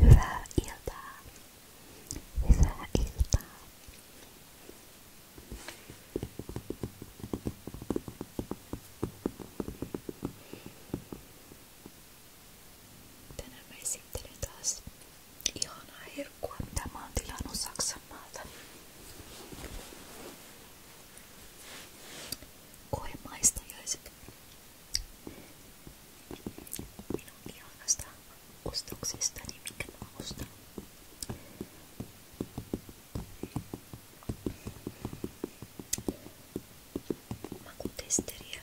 Hyvää iltaa. Hyvää iltaa. Tänään mä esittelen taas ihanaa herkkua, mitä mä oon tilannut Saksanmaalta. Koemaistajaiset minun ihanasta ostoksistani, minkä mä ostan. Makutesteriä.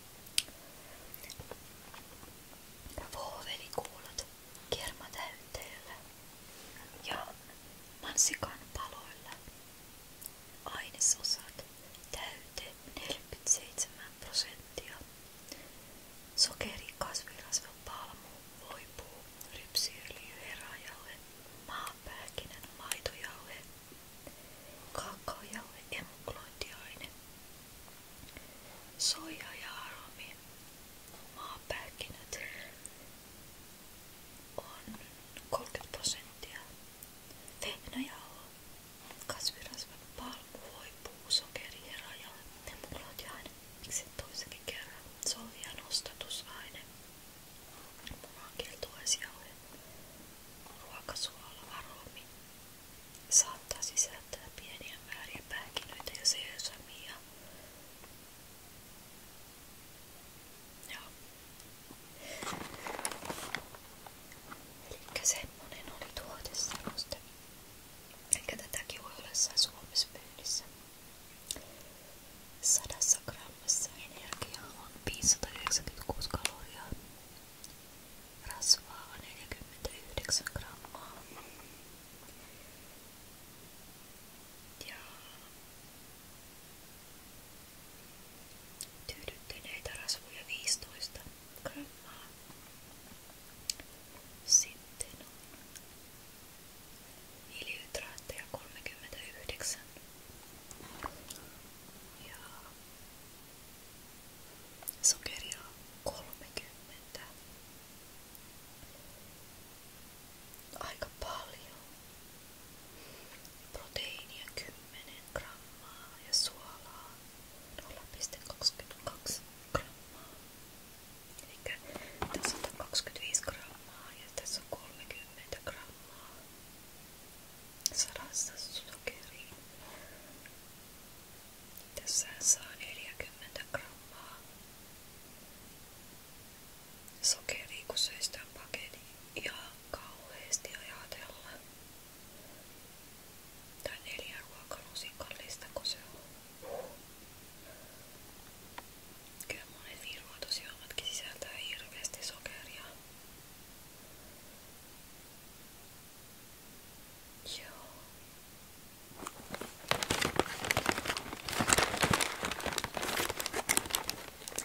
Voovelikulot kermatäytteellä ja mansikan paloilla. Ainesosat täyte 47 prosenttia. Sokeri, kasvirasva, palmu, voipuu, rypsiöljy, herajauhe, maapähkinän, maitojauhe, Kakaojalle emuklointiaine. Soija ja aromi. Maapähkinät on 30 prosenttia. Vehnäjauho, kasvirasva, palmuhoi, puusokeri, heraja, emuklointiaine. Miksi toisenkin kerran? Soija nostatusaine. Munaankieltuaisjauhe. Ruokasuolavaromi saattaa sisältää pieniä määriä pähkinöitä ja seesamia. Joo. Elikkä semmonen oli tuoteseloste. Eikä tätäkin voi olla Suomessa pöydissä. Sadassa grammassa energiaa on 596 kaloria Rasvaa on 49 grammaa. Ja tyydyttyneitä rasvoja 15 grammaa. Sitten on hiilihydraatteja 39 ja Sokeria 30. Aika paljon. Proteiinia 10 grammaa ja suolaa 0,22 grammaa. Eli tässä on 25 grammaa ja tässä on 30 grammaa. 100 sokeria. Tässä saa 40 grammaa sokeria, kun söi sitä paketin ihan kauheasti ajatella. Tai neljä ruokalusikallista, kun se on. Kyllä monet virvoitusjuomatkin sisältää hirveästi sokeria. Ja.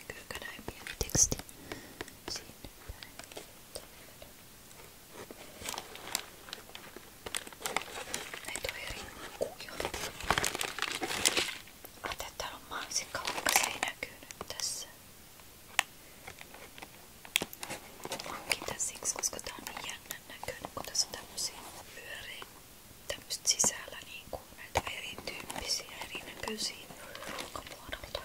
Kyllä näin pieni teksti siinä päin. Näitä on eri kuvioita. Ajattelin, että täällä on mansikka, vaikka se ei näkyy nyt tässä. Hankitaan siksi, koska tää on niin jännän näköinen, kun tässä on tämmösiä pyöreitä tämmöset sisällä niinku näitä erityyppisiä, erinäköisiä ruokamuodolta. Tää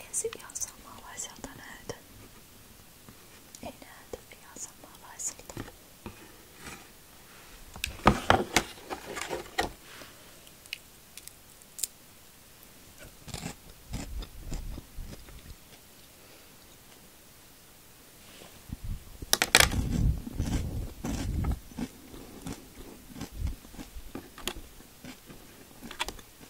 Ei se ihan samanlaiselta näytä. Ei näytä ihan samanlaiselta.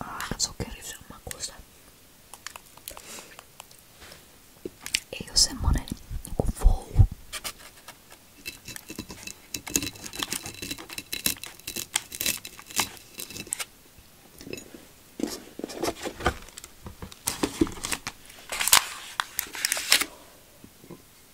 Ah, sokeri sen makuista. Ei oo semmonen niinku wow.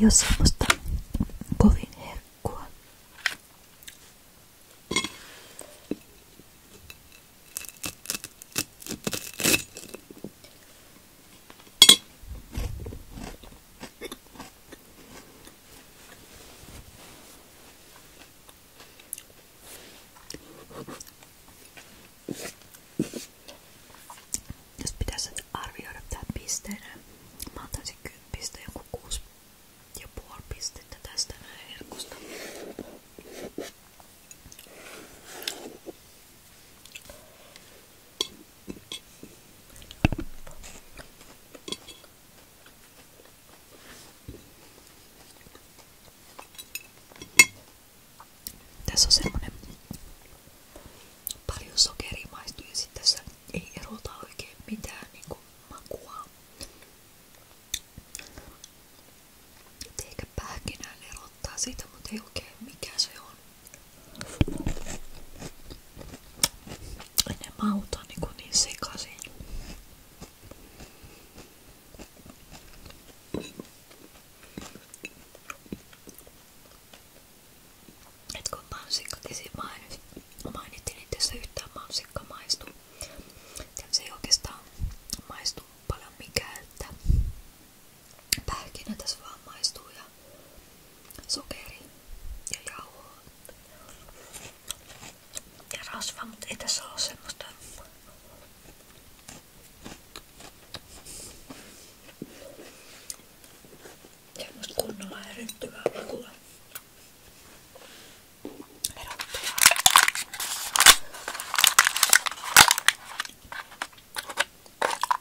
Ei ole semmoista kovin herkkua. Jos pitäisi arvioida tää pisteenä, mä antaisin 10 pisteen joku 6 ja puoli pistettä tästä näin herkusta. Tässä on semmonen paljon sokeria maistuu ja sit tässä ei erota oikein mitään niinku makua. Et ehkä pähkinään ero ottaa sitä, mutta ei oikein mikä se on. Ne maut on niin, niin sekaisin. Et kun mansikkakin niin mainit, mainittiin, että tässä yhtään mansikka maistu. Se ei oikeastaan maistu paljon mikään, että Pähkinä tässä vaan maistuu ja sokeri ja jauhoa ja rasva, mutta ei tässä ole semmoista semmoista kunnolla erittyvää makua erottavaa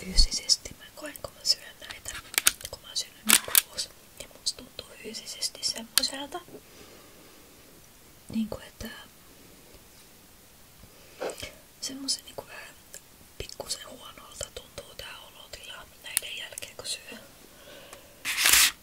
Fyysisesti mä koen, kun mä syön näitä, kun mä syön kuusi, niin musta tuntuu fyysisesti semmoiselta, niin kuin että semmoisen niin kuin vähän pikkusen huonolta tuntuu tää olotila näiden jälkeen kun syö.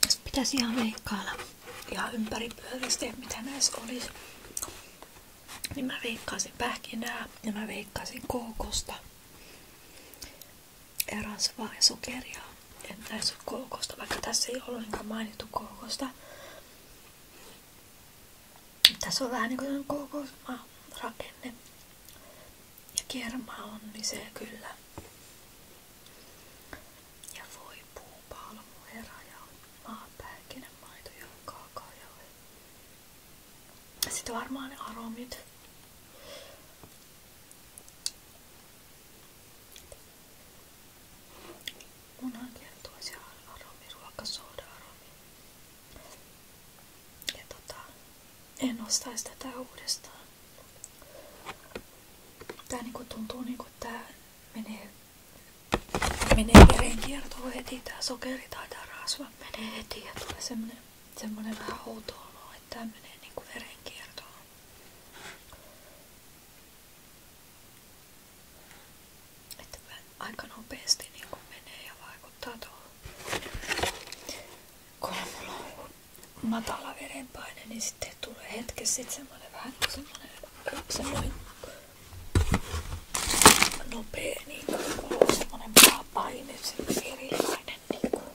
Tässä pitäisi ihan veikkailla ihan ympäri pyöristeet, mitä näissä olisi. Niin mä veikkaisin pähkinää ja mä veikkaisin kookosta. Eräs vai sokeria. En näissä ole koukosta, vaikka tässä ei ollenkaan mainittu koukosta. Tässä on vähän niin kuin rakenne. Ja kermaa on lisää niin kyllä. Ja voi puu, palmu, herra ja maapähkinä, maito ja kaakaojauhe. Sitten varmaan ne aromit. Munakiertuisi aromi, ruokasooda aromi. Ja tota, en ostaisi tätä uudestaan. Tää niinku tuntuu niinku, että tää menee, menee verenkiertoon heti, tää sokeri tai tää rasva menee heti ja tulee semmonen semmoinen vähän outo olo, että tämä menee niinku verenkiertoon. Että aika nopeasti niinku menee ja vaikuttaa tuohon. Kun mulla on matala verenpaine, niin sitten tulee hetkessä sit semmoinen vähän semmoinen, semmoinen nopea niinku, semmoinen paine, semmoinen erilainen niinku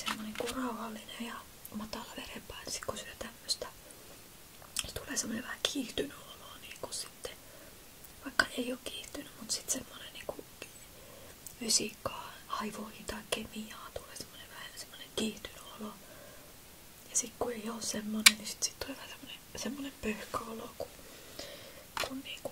semmonen kuin rauhallinen ja matala verenpaine, kun syö tämmöstä. Ja tulee semmoinen vähän kiihtynyt niin niinku sitten. Vaikka ei oo kiihtynyt, mutta sitten semmonen niinku fysiikkaa, aivoihin tai kemiaan tulee semmonen vähän semmoinen, kiihtynyt olo. Ja sit kun ei oo semmonen, niin sit, sit tulee vähän semmonen, semmonen pöhköolo, kun, kun niin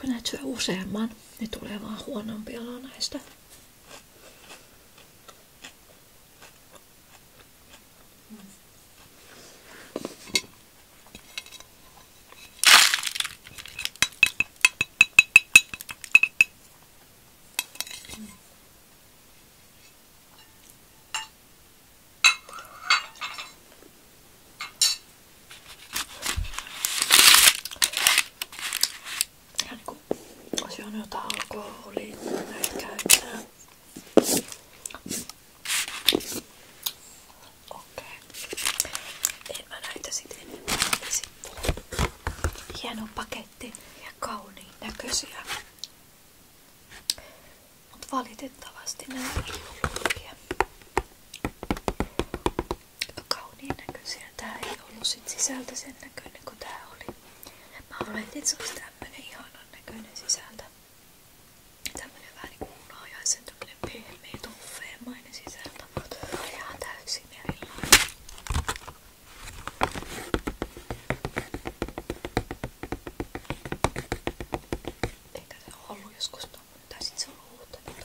kun näet syö useamman, niin tulee vaan huonompi olo näistä. Ja niin kun, jos on jotain alkoholia, näitä käyttää. Okei. En mä näitä sitten enemmän esittele. Hieno paketti ja kauniin näköisiä. Mutta valitettavasti nämä ei ole Aika kauniin näköisiä. Tää ei ollut sit sisältä sen näköinen kuin tää oli. Mä oletin, että se olisi tämmönen ihanan näköinen sisältä. Tämmönen vähän niinku unajaisen tämmönen pehmeä, tuffeemainen sisältä. Mutta ihan täysin erilainen. Eikä se ollut joskus tommonen, tai sit se on uutta, niin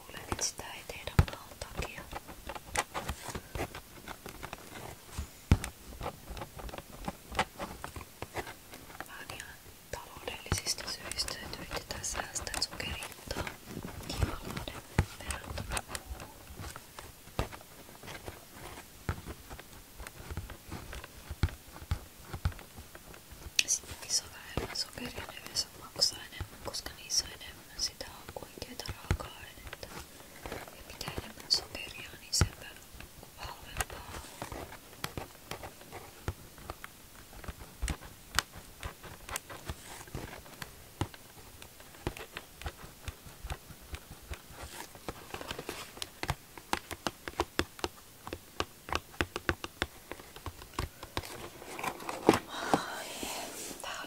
luulen, että sitä ei tehdä maan takia. Vaan ihan taloudellisista syistä, että yritetään säästää sokerittaa kivalloiden verrattuna on vähemmän sokeria, ne yleensä maksaa enemmän, koska niissä on enemmän sitä oikeita raaka-ainetta ja mitä enemmän sokeria, niin sen halvempaa on. Tää